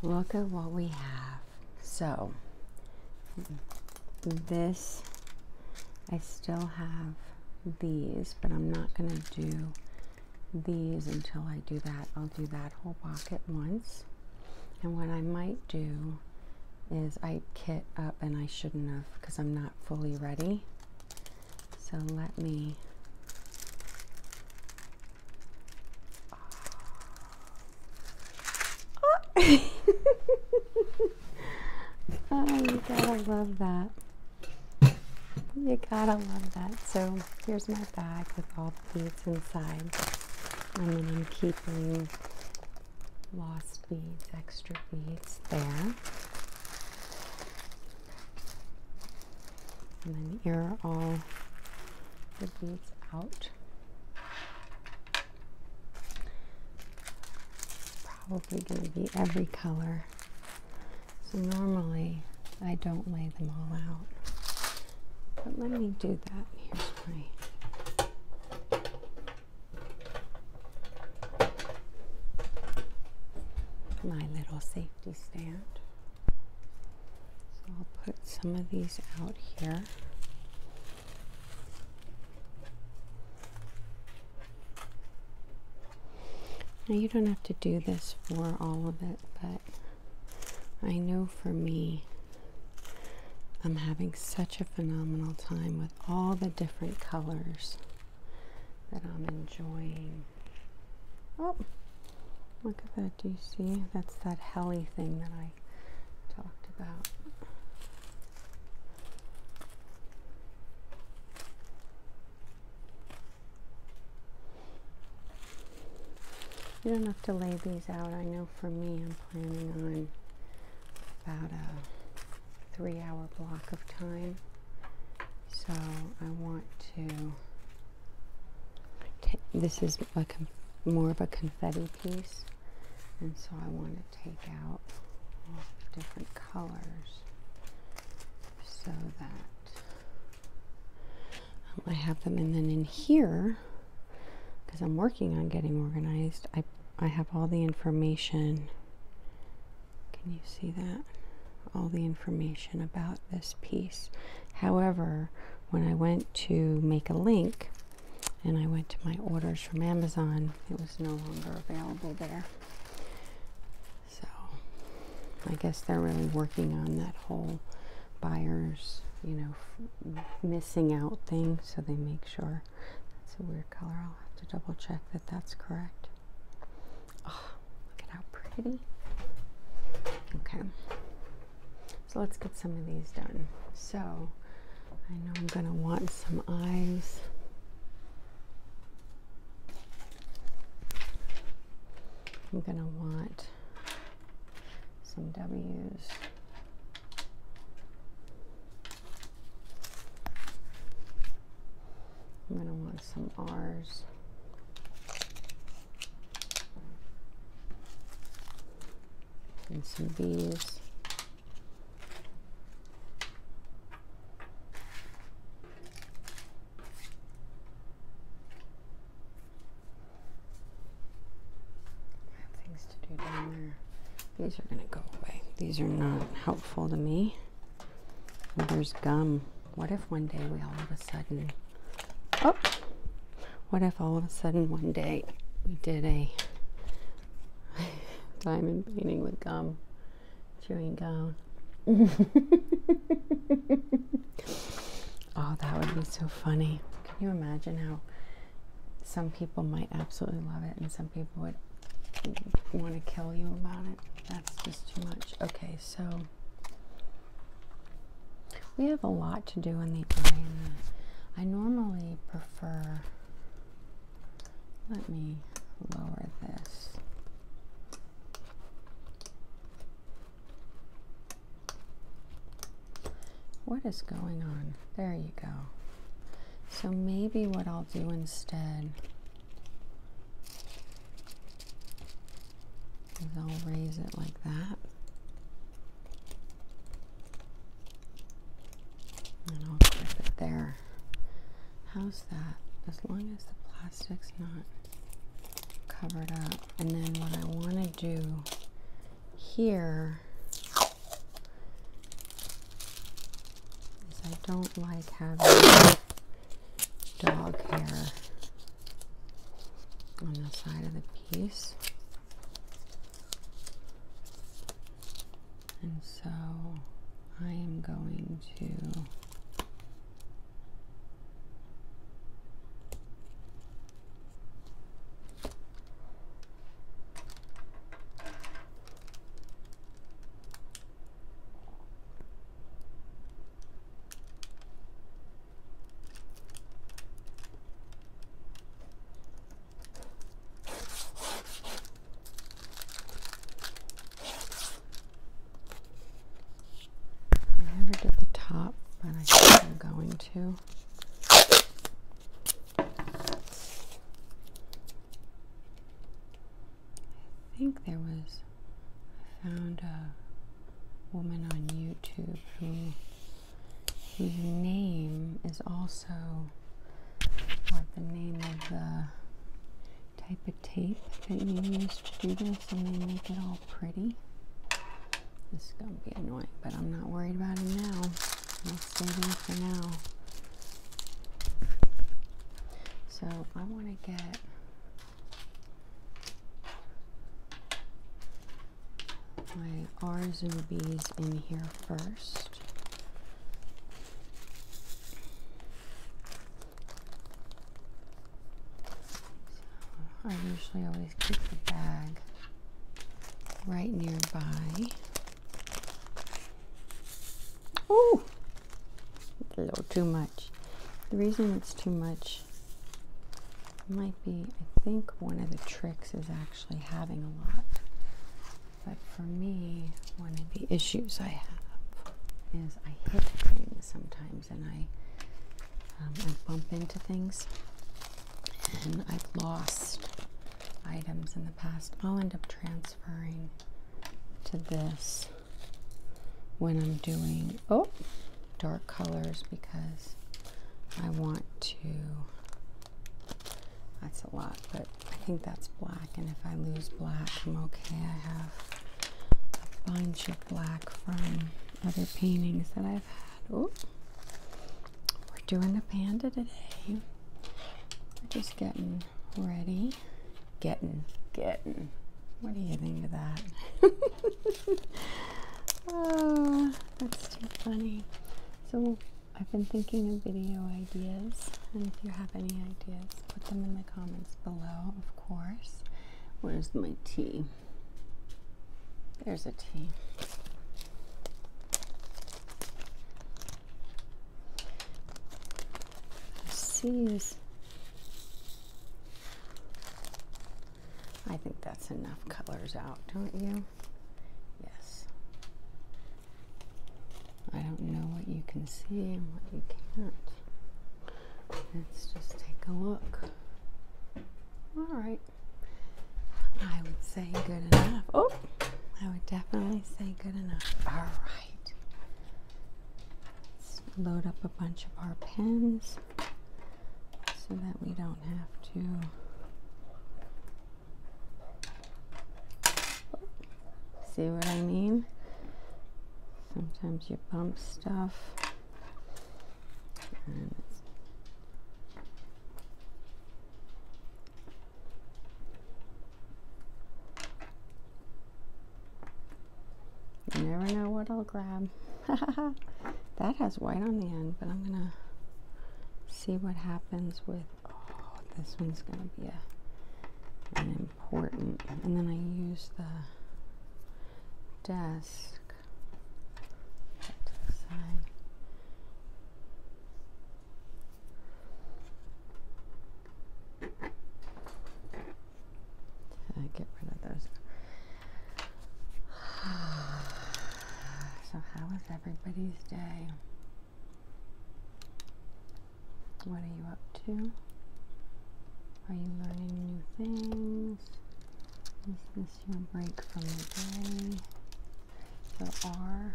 Look at what we have. So, this, I still have these, but I'm not going to do these until I do that. I'll do that whole block at once. And what I might do is I kit up, and I shouldn't have because I'm not fully ready. So let me Oh. oh, you gotta love that. You gotta love that. So here's my bag with all the beads inside. And then I'm keeping lost beads, extra beads there and then you're all the beads out. Probably going to be every color. So normally I don't lay them all out, but let me do that. Here's my my little safety stand. So I'll put some of these out here. Now you don't have to do this for all of it, but I know for me, I'm having such a phenomenal time with all the different colors that I'm enjoying. Oh, look at that. Do you see? That's that heli thing that I talked about. You don't have to lay these out. I know for me, I'm planning on about a three hour block of time. So I want to this is like more of a confetti piece and so I want to take out all the different colors so that I have them and then in here because I'm working on getting organized I, I have all the information can you see that all the information about this piece. However, when I went to make a link and I went to my orders from Amazon, it was no longer available there. So I guess they're really working on that whole buyers, you know, missing out thing. So they make sure that's a weird color. I'll have to double check that that's correct. Look at how pretty. Okay. So let's get some of these done. So I know I'm going to want some eyes. I'm going to want some W's. I'm going to want some R's. And some B's. Things to do down there. These are going to go away. These are not helpful to me. there's gum. What if one day we all of a sudden, oh, what if all of a sudden one day we did a diamond painting with gum, chewing gum? oh, that would be so funny. Can you imagine how some people might absolutely love it and some people would want to kill you about it? That's just too much. Okay, so we have a lot to do in the eye. I normally prefer. Let me lower this. What is going on? There you go. So maybe what I'll do instead I'll raise it like that. And I'll clip it there. How's that? As long as the plastic's not covered up. And then what I want to do here is I don't like having dog hair on the side of the piece. And so I am going to I never did the top, but I think I'm going to. I think there was, I found a woman on YouTube who, whose name is also what the name of the type of tape that you use to do this and they make it all pretty. This is going to be annoying, but I'm not worried about it now. I'll save it for now. So I want to get my R Zubies in here first. I usually always keep the bag right nearby. Oh, a little too much. The reason it's too much might be, I think one of the tricks is actually having a lot. But for me, one of the issues I have is I hit things sometimes and I, um, bump into things and I've lost items in the past. I'll end up transferring to this when I'm doing oh dark colors because I want to that's a lot but I think that's black and if I lose black I'm okay I have a bunch of black from other paintings that I've had oh we're doing the panda today we're just getting ready Getting, getting. What do you think of that? oh, that's too funny. So I've been thinking of video ideas, and if you have any ideas, put them in the comments below, of course. Where's my T? There's a T. tea. I I think that's enough colors out, don't you? Yes. I don't know what you can see and what you can't. Let's just take a look. All right. I would say good enough. Oh, I would definitely say good enough. All right. Let's load up a bunch of our pens so that we don't have to see what I mean? Sometimes you bump stuff you never know what I'll grab. that has white on the end, but I'm gonna see what happens with, oh, this one's gonna be a, an important, and then I use the desk to the side. I get rid of those. so, how is everybody's day? What are you up to? Are you learning new things? Is this your break from the day? There are.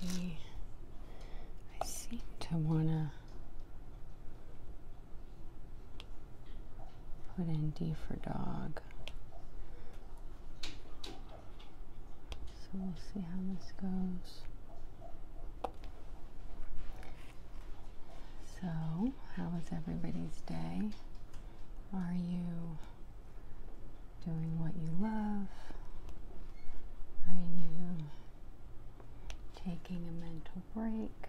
D. I seem to want to put in D for dog. So we'll see how this goes. So, how was everybody's day? Are you doing what you love? Are you taking a mental break?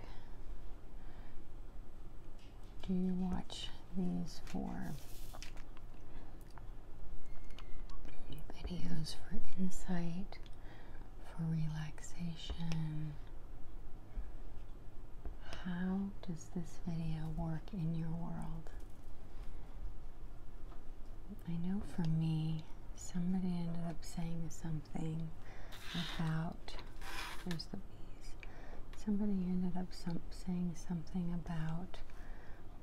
Do you watch these four? videos for insight, for relaxation. How does this video work in your world? I know for me, somebody ended up saying something about, there's the bees, somebody ended up some, saying something about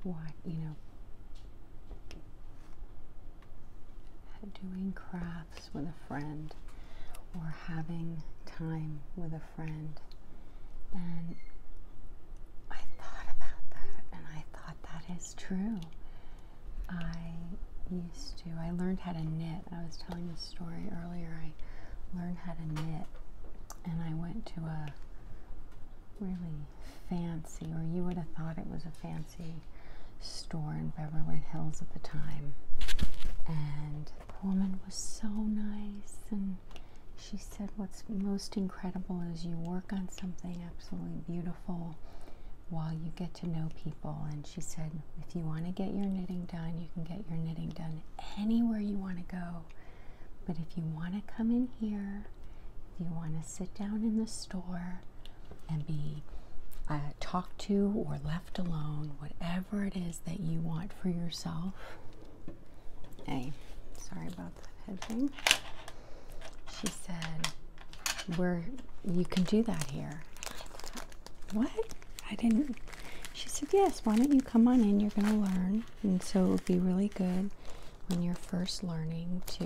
what, you know, doing crafts with a friend or having time with a friend. And I thought about that and I thought that is true. I used to, I learned how to knit. I was telling this story earlier. I learned how to knit and I went to a really fancy, or you would have thought it was a fancy store in Beverly Hills at the time. And the woman was so nice, and she said, What's most incredible is you work on something absolutely beautiful while you get to know people. And she said, If you want to get your knitting done, you can get your knitting done anywhere you want to go. But if you want to come in here you want to sit down in the store and be uh, talked to or left alone, whatever it is that you want for yourself. Hey, sorry about that head thing. She said, "We're you can do that here." What? I didn't. She said, "Yes. Why don't you come on in? You're going to learn, and so it would be really good." when you're first learning to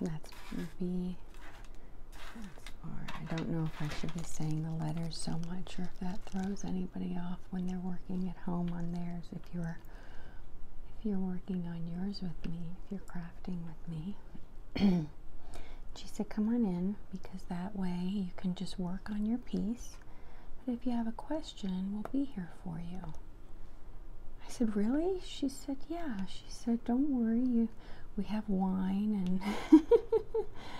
that's B that's I don't know if I should be saying the letters so much or if that throws anybody off when they're working at home on theirs if you're if you're working on yours with me if you're crafting with me she said come on in because that way you can just work on your piece but if you have a question, we'll be here for you. I said, Really? She said, Yeah. She said, Don't worry, you we have wine and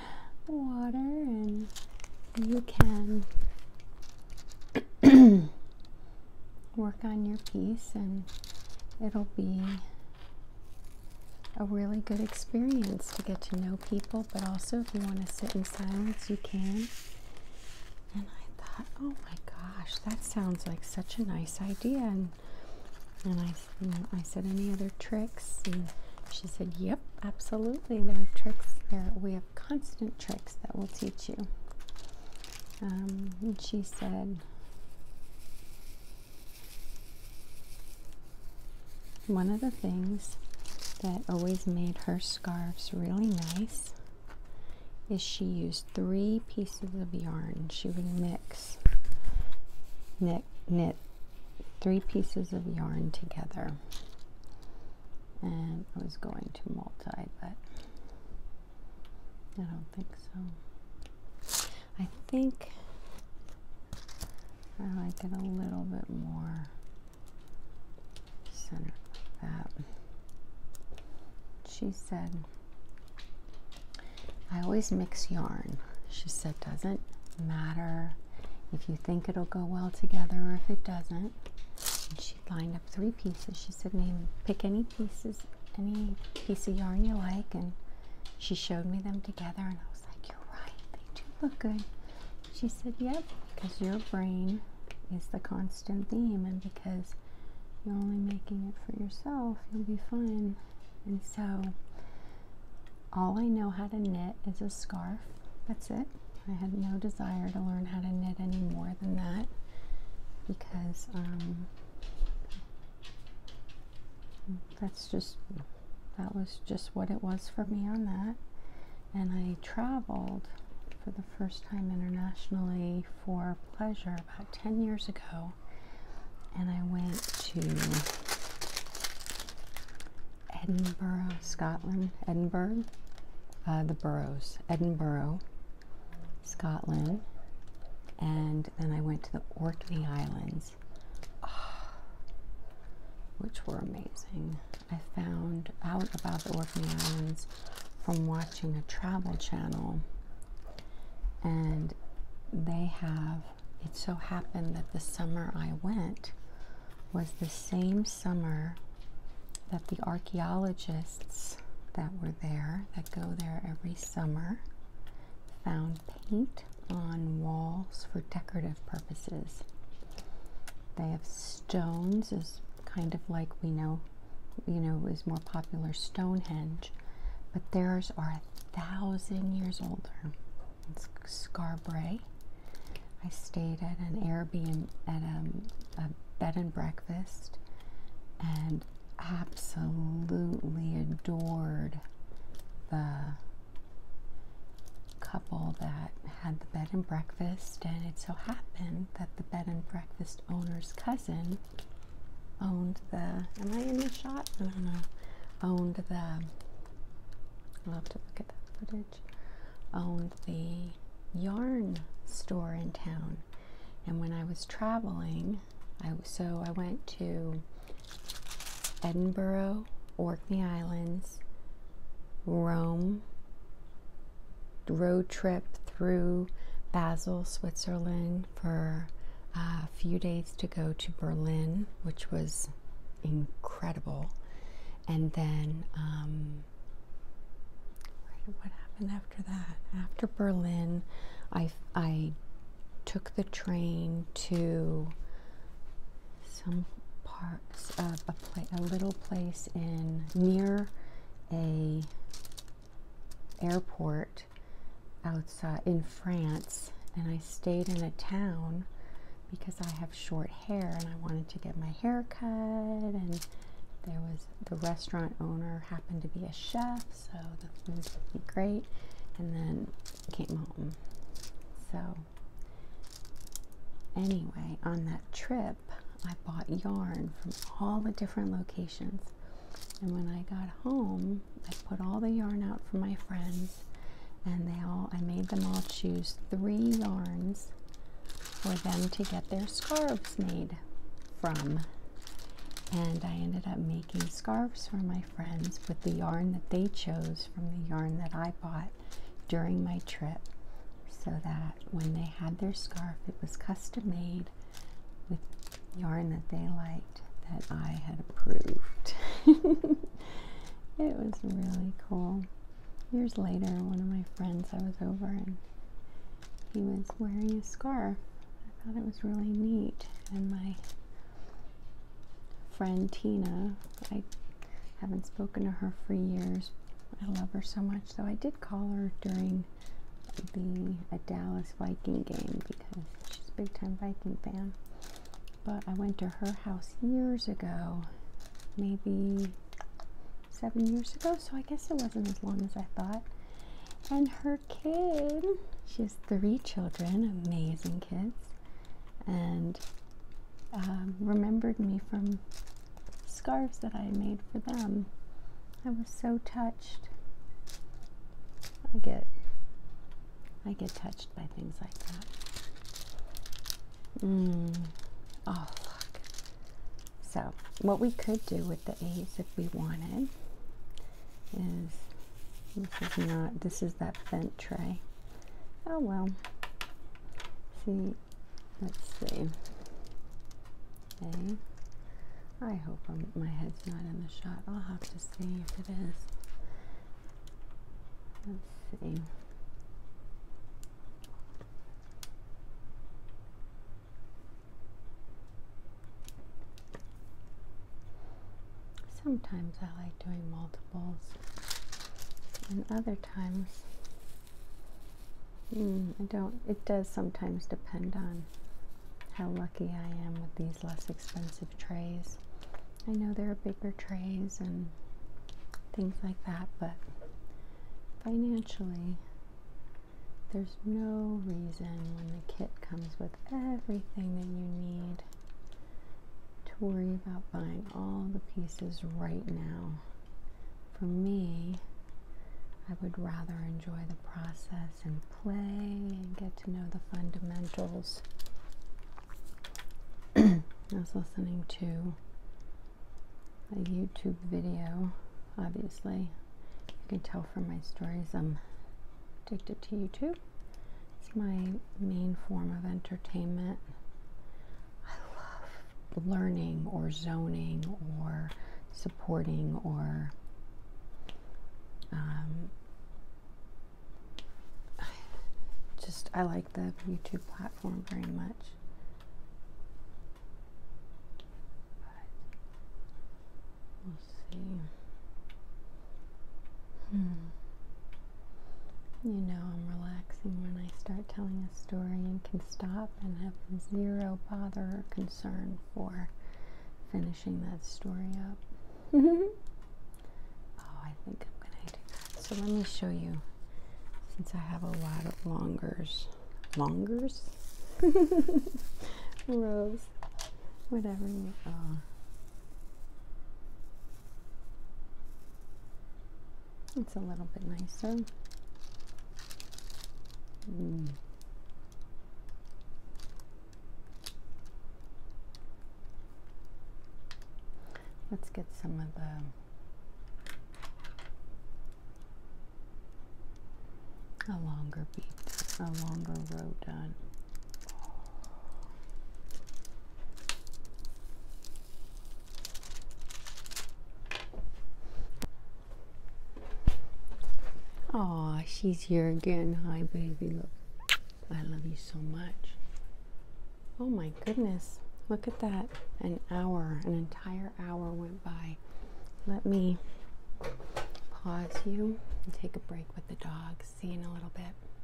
water and you can work on your piece and it'll be a really good experience to get to know people, but also if you want to sit in silence, you can. And I thought, oh my gosh, that sounds like such a nice idea. And I, I said, any other tricks? And she said, yep, absolutely. There are tricks there. We have constant tricks that will teach you. Um, and she said, one of the things that always made her scarves really nice is she used three pieces of yarn. She would mix knit knit three pieces of yarn together. And I was going to multi, but I don't think so. I think I like it a little bit more she said, I always mix yarn. She said, doesn't matter if you think it'll go well together or if it doesn't. she lined up three pieces. She said, pick any pieces, any piece of yarn you like. And she showed me them together and I was like, you're right, they do look good. She said, Yep, because your brain is the constant theme, and because you're only making it for yourself, you'll be fine. And so, all I know how to knit is a scarf. That's it. I had no desire to learn how to knit any more than that because um, that's just that was just what it was for me on that and I traveled for the first time internationally for pleasure about 10 years ago. And I went to Edinburgh, Scotland, Edinburgh, uh, the boroughs, Edinburgh, Scotland. And then I went to the Orkney Islands, ah, which were amazing. I found out about the Orkney Islands from watching a travel channel. And they have, it so happened that the summer I went was the same summer that the archaeologists that were there, that go there every summer, found paint on walls for decorative purposes. They have stones is kind of like we know, you know, is more popular Stonehenge, but theirs are a thousand years older. It's Scarborough. I stayed at an Airbnb at um, a bed and breakfast and absolutely adored the couple that had the bed and breakfast, and it so happened that the bed and breakfast owner's cousin owned the. Am I in the shot? I don't know. Owned the. I'll have to look at that footage. Owned the yarn store in town, and when I was traveling, I so I went to Edinburgh, Orkney Islands. Rome, road trip through Basel, Switzerland for uh, a few days to go to Berlin, which was incredible. And then, um, what happened after that? After Berlin, I, I took the train to some parts a, little place in near a airport outside in France and I stayed in a town because I have short hair and I wanted to get my hair cut and there was the restaurant owner happened to be a chef so the food was great and then came home so Anyway, on that trip, I bought yarn from all the different locations. And when I got home, I put all the yarn out for my friends and they all I made them all choose three yarns for them to get their scarves made from. And I ended up making scarves for my friends with the yarn that they chose from the yarn that I bought during my trip so that when they had their scarf, it was custom made with yarn that they liked that I had approved. it was really cool. Years later, one of my friends, I was over and he was wearing a scarf. I thought it was really neat. And my friend Tina, I haven't spoken to her for years. I love her so much. though I did call her during the a Dallas Viking game because she's a big time Viking fan. But I went to her house years ago, maybe seven years ago, so I guess it wasn't as long as I thought. And her kid, she has three children, amazing kids and um, remembered me from scarves that I made for them. I was so touched. I get I get touched by things like that. Mm. Oh look. So what we could do with the A's if we wanted is this is not this is that vent tray. Oh well. See, let's see. Okay. I hope my head's not in the shot. I'll have to see if it is. Let's see. Sometimes I like doing multiples, and other times hmm, I don't. It does sometimes depend on how lucky I am with these less expensive trays. I know there are bigger trays and things like that, but financially, there's no reason when the kit comes with everything that you need to worry about buying all the pieces right now. For me, I would rather enjoy the process and play and get to know the fundamentals. I was listening to a YouTube video, obviously. You can tell from my stories I'm addicted to YouTube. It's my main form of entertainment. I love learning or zoning or supporting or um, just I like the YouTube platform very much. we'll see. Hmm. You know, I'm relaxing when I start telling a story and can stop and have zero bother or concern for finishing that story up. oh, I think I'm going to So let me show you, since I have a lot of longers. Longers? rows, Whatever you. Oh. It's a little bit nicer. Mm. Let's get some of the a longer beat, a longer row done. Oh, she's here again. Hi, baby. Look, I love you so much. Oh my goodness. Look at that. An hour, an entire hour went by. Let me pause you and take a break with the dog. See you in a little bit.